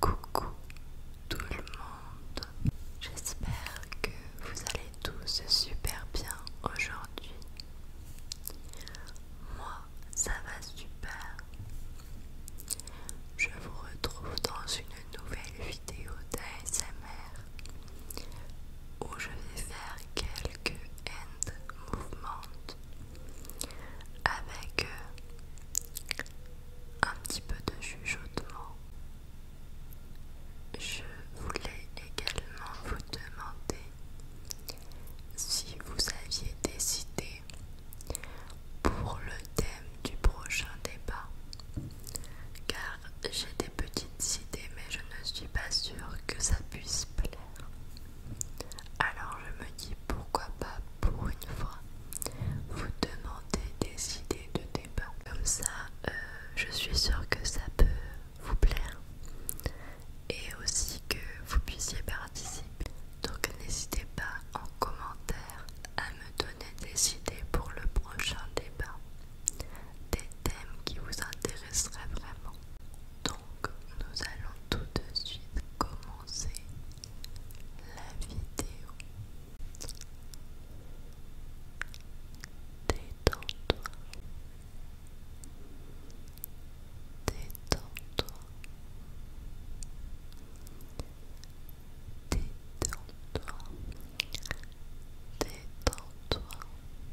Coucou tout le monde, j'espère que vous allez tous super bien aujourd'hui. Moi, ça va super. Je vous retrouve dans une nouvelle vidéo d'ASMR où je vais faire quelques hand movements avec euh, un petit peu de chuchotement. Je voulais également vous demander si vous aviez des idées pour le thème du prochain débat, car j'ai des petites idées mais je ne suis pas sûre que ça puisse plaire. Alors je me dis pourquoi pas pour une fois vous demander des idées de débat. Comme ça, euh, je suis sûre que ça peut vous plaire et aussi que vous puissiez participer. Donc n'hésitez pas en commentaire à me donner des idées pour le prochain débat, des thèmes qui vous intéresseraient vraiment. Donc nous allons tout de suite commencer la vidéo. Détends-toi. Détends-toi. Détends-toi. Détends-toi. toi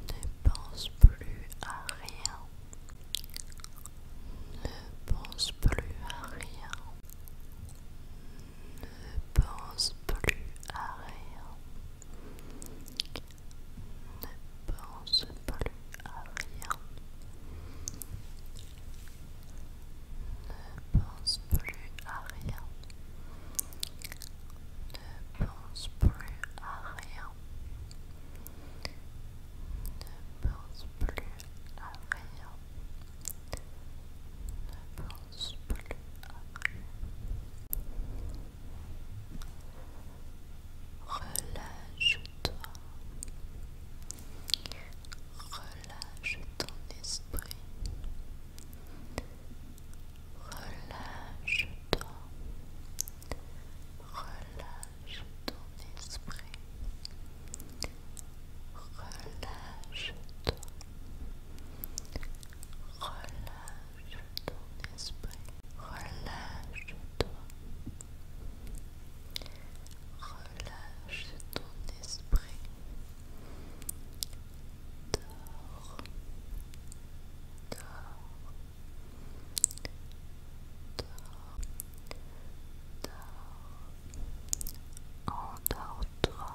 Ne pense plus à rien. Ne pense plus à rien. Ne pense plus à rien ne pense plus à rien, ne pense plus à rien, ne pense plus à rien, ne pense plus à rien, ne pense plus à rien. à rien. Relâche-toi. Relâche ton esprit. Relâche-toi. Relâche ton esprit. Relâche-toi. Relâche ton esprit. Relâche-toi. Relâche ton esprit. Dors. Dors. Dors. Dors. Endors-toi.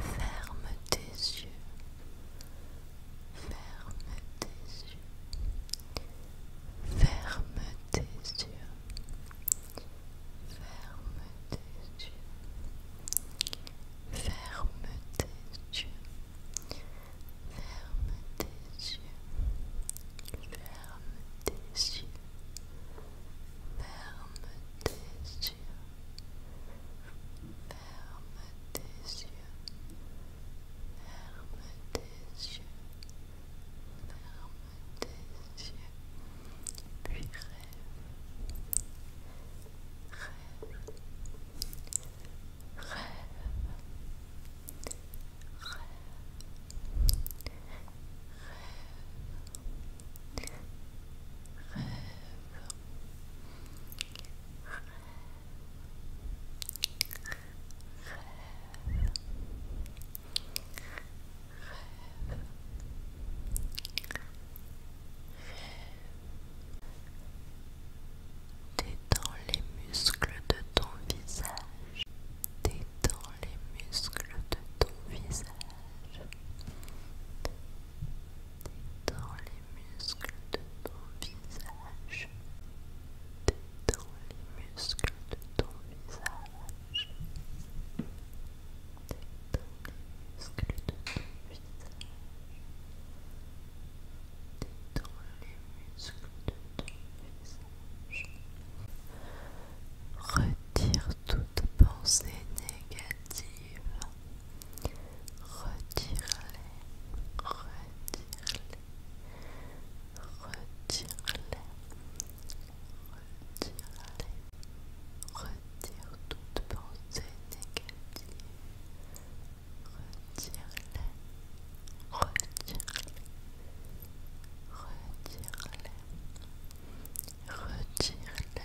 Ferme tes yeux Ferme tes yeux. Ferme tes yeux. Ferme tes yeux. Ferme tes yeux. Ferme tes yeux. Ferme tes yeux. Ferme tes yeux. Ferme tes yeux. Ferme tes yeux. Ferme tes yeux. Puis Rêve. Rêve. Rêve. Rêve. Rêve. Rêve. Rêve. Rêve. Rêve. Détends les muscles de ton visage. Détends les muscles de ton visage. Dans les muscles de ton visage. Dans les muscles de ton visage. les muscles de ton visage. les muscles de ton visage. Retire toute pensée négative. Retire-les. Retire-les. Retire-les. Retire-les. Retire toute pensée négative. Retire-les. Retire-les. Retire-les. Retire-les.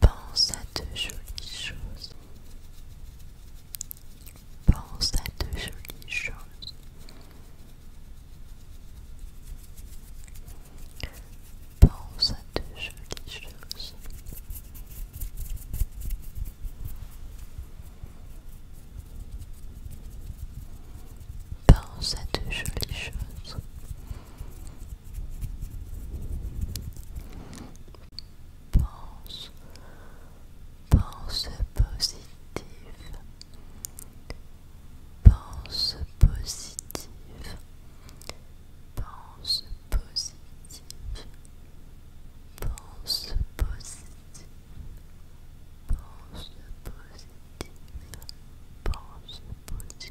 Pense à de jolies choses. Pense à de jolies choses. Pense à de jolies choses. Pense à de jolies choses. Pense, pense positif, Pense positive. Pense positive. Pense positive. Pense positive. Pense positive.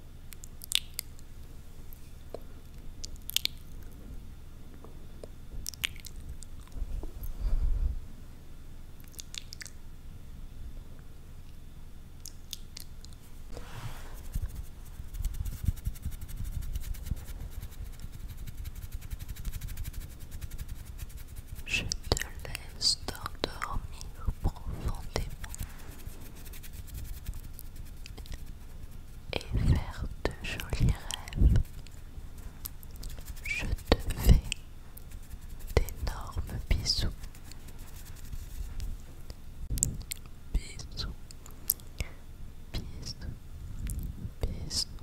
Je te laisse t'endormir profondément et faire de jolis rêves. Je te fais d'énormes bisous. Bisous. Bisous. Bisous.